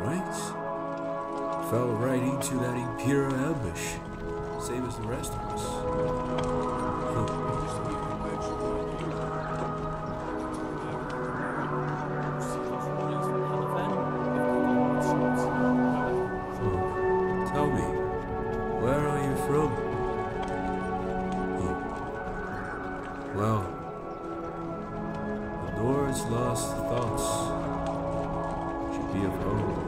right? Fell right into that imperial ambush, same as the rest of us. Huh. Well, the Lord's lost thoughts should be of home.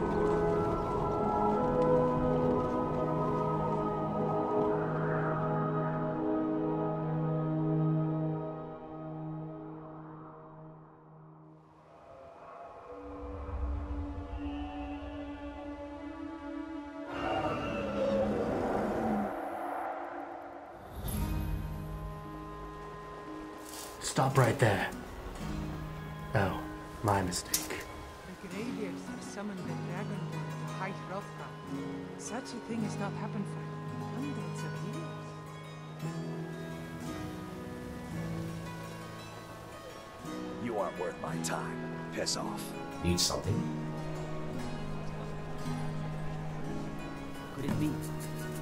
Stop right there. Oh, my mistake. The Greybeards have summoned the Dragonborn to High Hrothgar. Such a thing has not happened for hundreds of years. You aren't worth my time. Piss off. Need something? could it be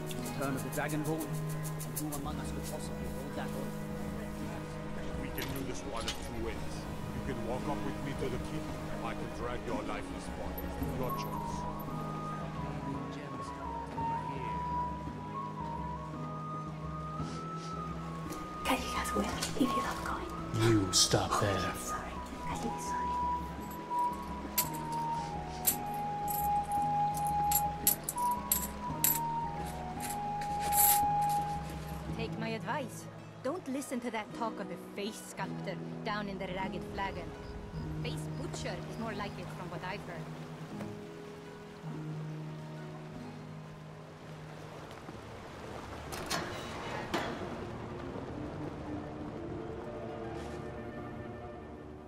The turn of the Dragonborn? And who among us could possibly hold that oath? We can do this one of two ways. You can walk up with me to the keep, and I can drag your lifeless body. Your choice. Can you guys win if you love going? You stop there. Sorry. I think sorry. Take my advice. Don't listen to that talk of the face sculptor down in the ragged flagon. Face butcher is more like it from what I've heard.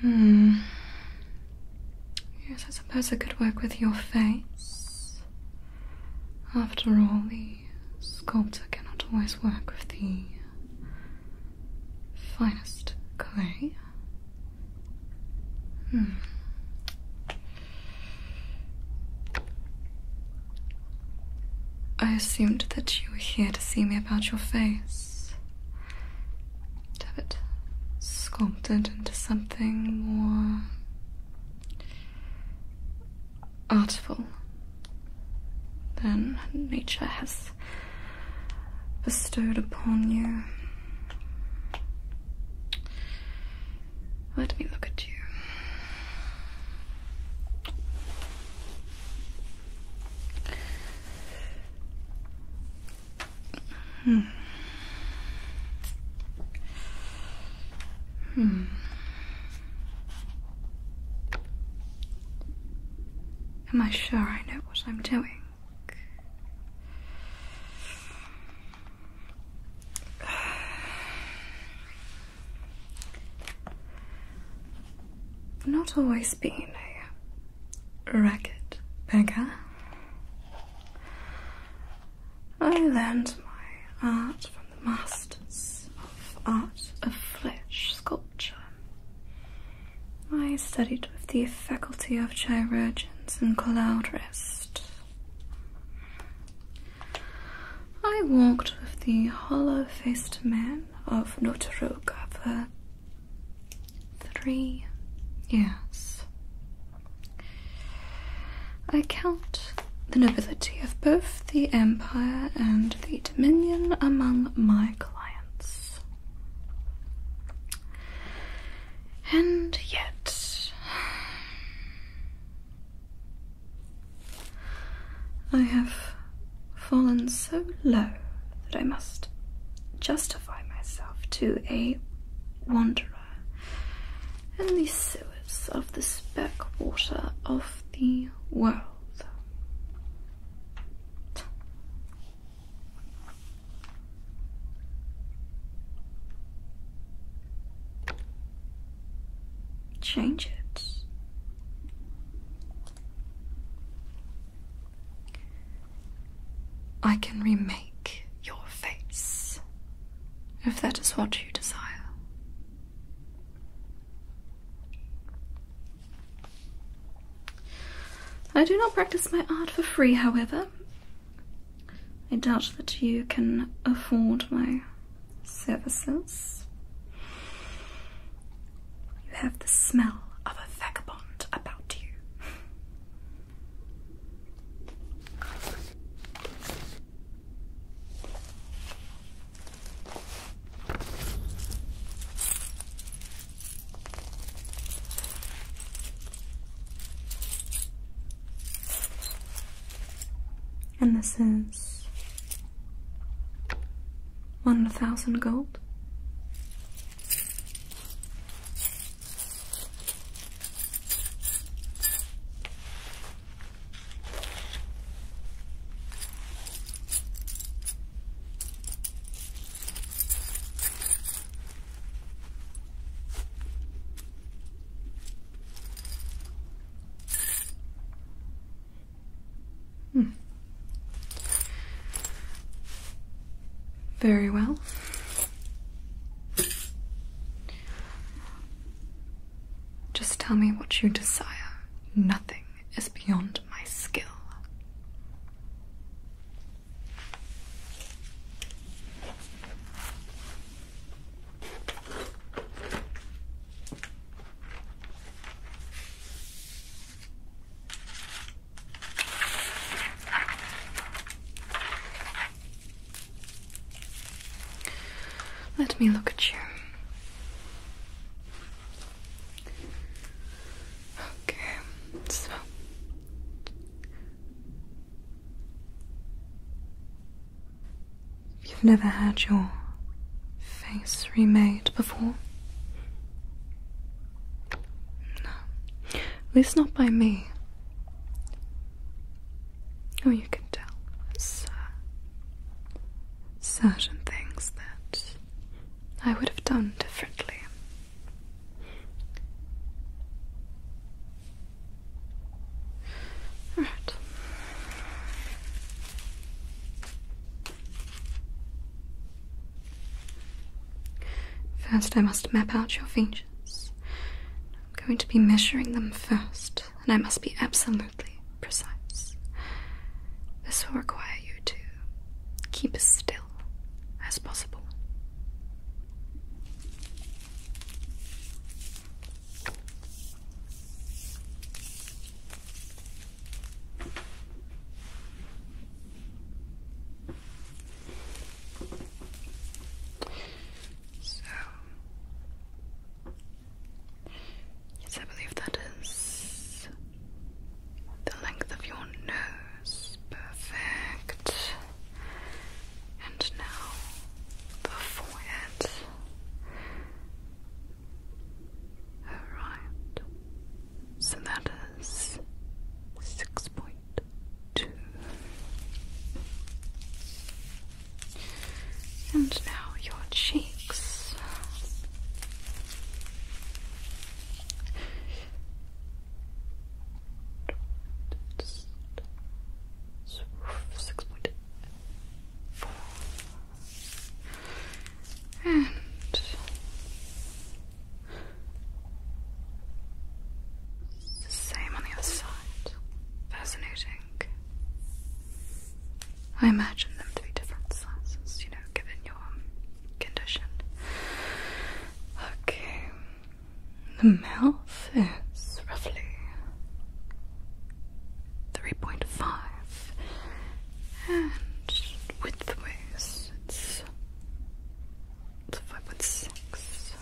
Hmm. Yes, I suppose it could work with your face. After all, the sculptor cannot always work with the finest clay. Hmm. I assumed that you were here to see me about your face. have it sculpted into something more artful than nature has bestowed upon you. Let me look at you. Hmm. Hmm. Am I sure I know what I'm doing? not always being a ragged beggar. I learned my art from the masters of art of flesh sculpture. I studied with the faculty of chirurgeons in Cloudrest. I walked with the hollow faced man of Notoroka for three years. I count the nobility of both the empire and the dominion among my clients. And yet, I have fallen so low that I must justify myself to a wanderer in the sewers of the speck water of the world change it. I can remake your face, if that is what you desire. I do not practice my art for free, however. I doubt that you can afford my services. You have the smell of a vagabond about you and this is 1000 gold. Hmm. Very well. Just tell me what you desire. Nothing is beyond my skill. Let me look at you. Okay, so You've never had your face remade before? No. At least not by me. Oh, you can tell. certain things that I would have done differently. All right. First, I must map out your features. I'm going to be measuring them first, and I must be absolutely precise. This will require you to keep as still as possible. So, yes, I believe that is the length of your nose. Perfect. And now the forehead. Alright, so that is six point two. And now your cheeks. Six point four and the same on the other side. Fascinating. I imagine them to be different sizes, you know, given your condition. Okay. The mouth is roughly 3.5 and widthways it's, it's 5.6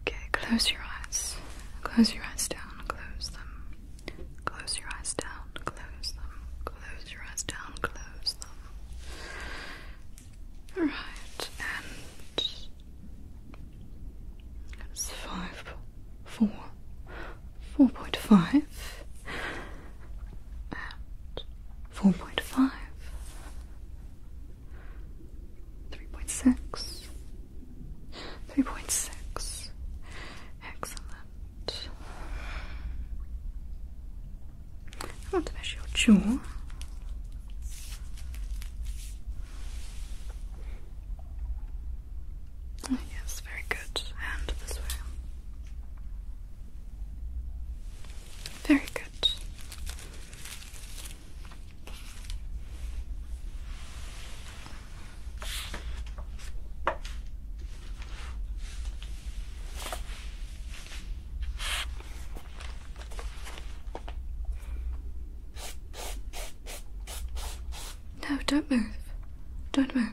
okay close your eyes close your eyes down close them close your eyes down close them close your eyes down close them all right and that's five, four, four point five, and four point five, three point six, three point six. Excellent. I want to measure your jaw yes, very good. And this way. Very good. No, don't move. Don't move.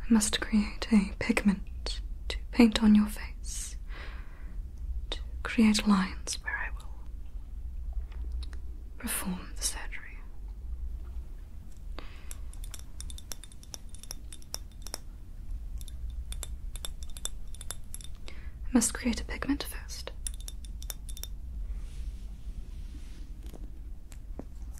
I must create a pigment to paint on your face, to create lines where I will perform the surgery. I must create a pigment first.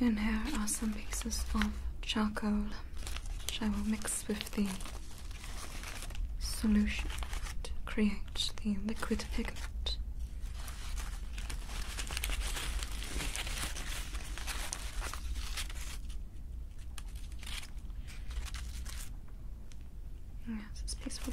And here are some pieces of charcoal, which I will mix with the solution to create the liquid pigment. Yes, it's peaceful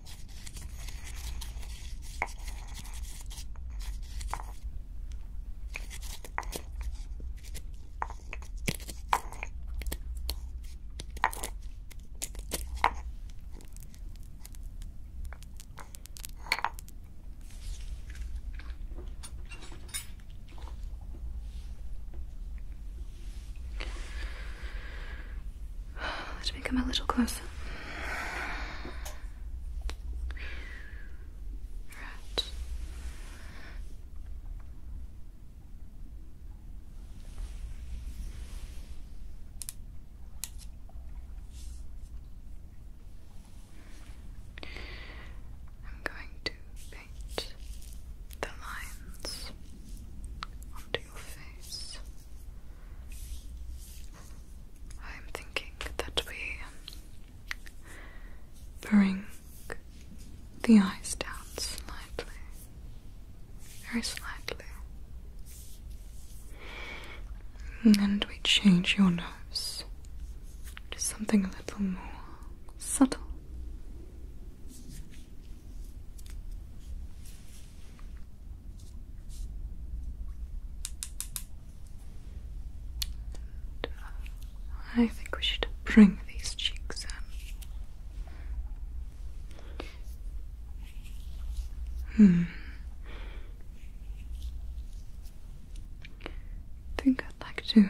Let me come a little closer. Right. I'm going to paint the lines onto your face I'm thinking that we bring the eyes down slightly, very slightly, and we change your nose to something a little more subtle. I think we should bring these cheeks in. Hmm. think I'd like to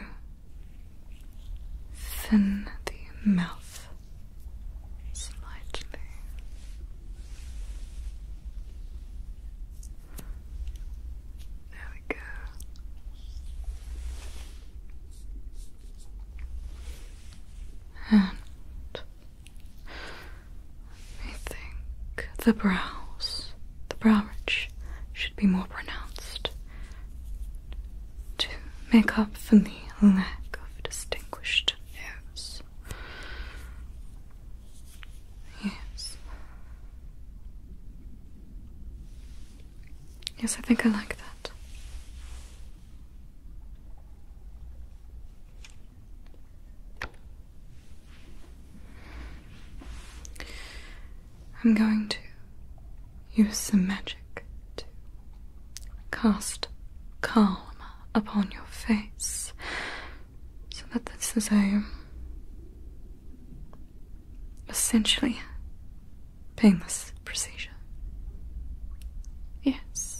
thin the mouth slightly. There we go. And I think the brows, the brow ridge should be more pronounced to make up for the lack of distinguished nose. Yes. Yes. I think I like that. I'm going to use some magic to cast calm upon your face so that this is a essentially painless procedure. Yes.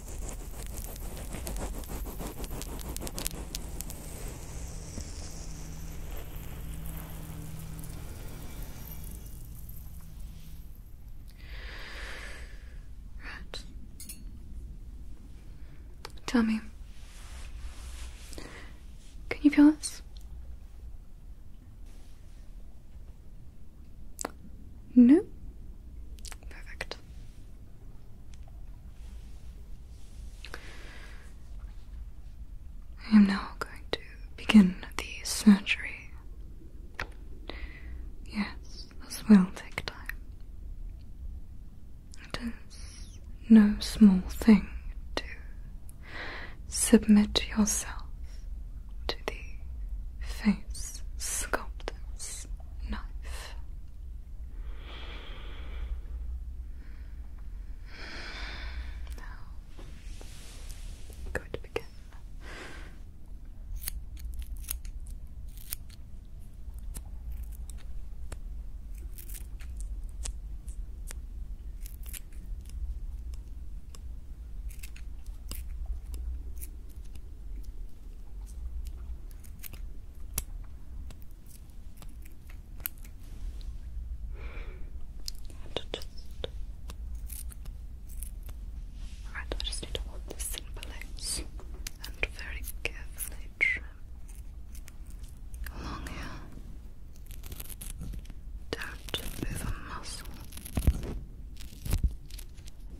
Tell me. Can you feel this? No? Perfect. I am now going to begin the surgery. Yes, this will take time. It is no small thing to submit yourself to the face sculptor's knife. Now, going to begin. And I just need to hold this in place and very carefully trim along here. Don't move a muscle.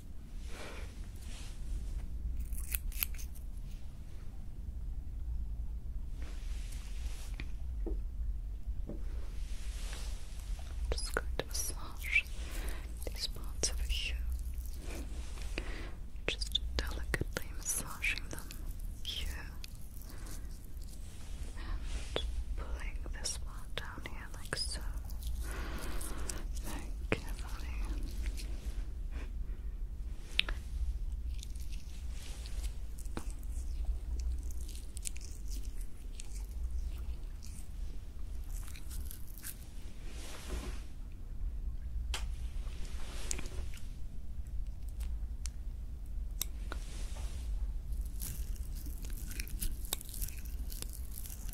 I'm just going massage these parts over here. Just delicately massaging them here and pulling this part down here hair like so. carefully.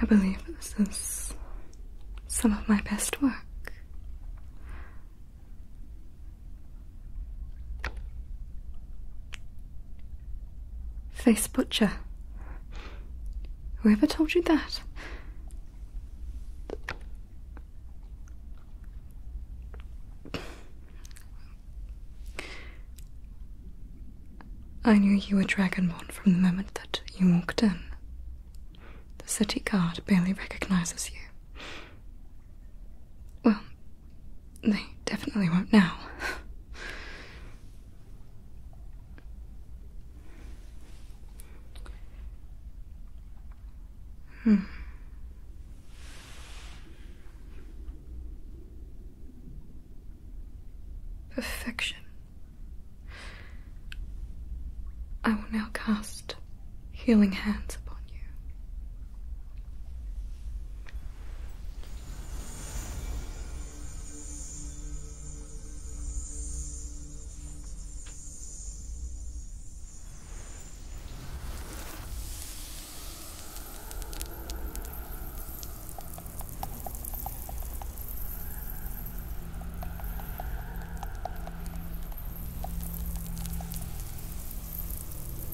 I believe this is some of my best work. Face Butcher. Whoever told you that? I knew you were Dragonborn from the moment that you walked in. The city guard barely recognizes you. Well, they definitely won't now. hmm. Perfection. I will now cast healing hands upon you.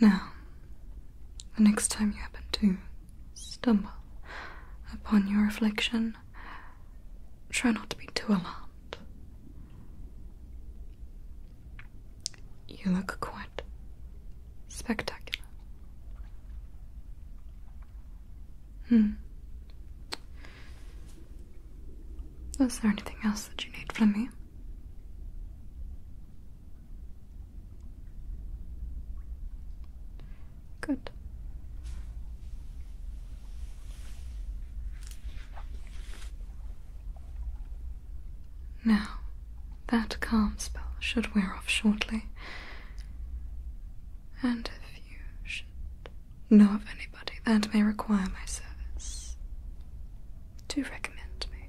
Now, the next time you happen to stumble upon your reflection, try not to be too alarmed. You look quite spectacular. Hmm. Is there anything else that you need from me? Good. Now, that calm spell should wear off shortly. And if you should know of anybody that may require my service, do recommend me.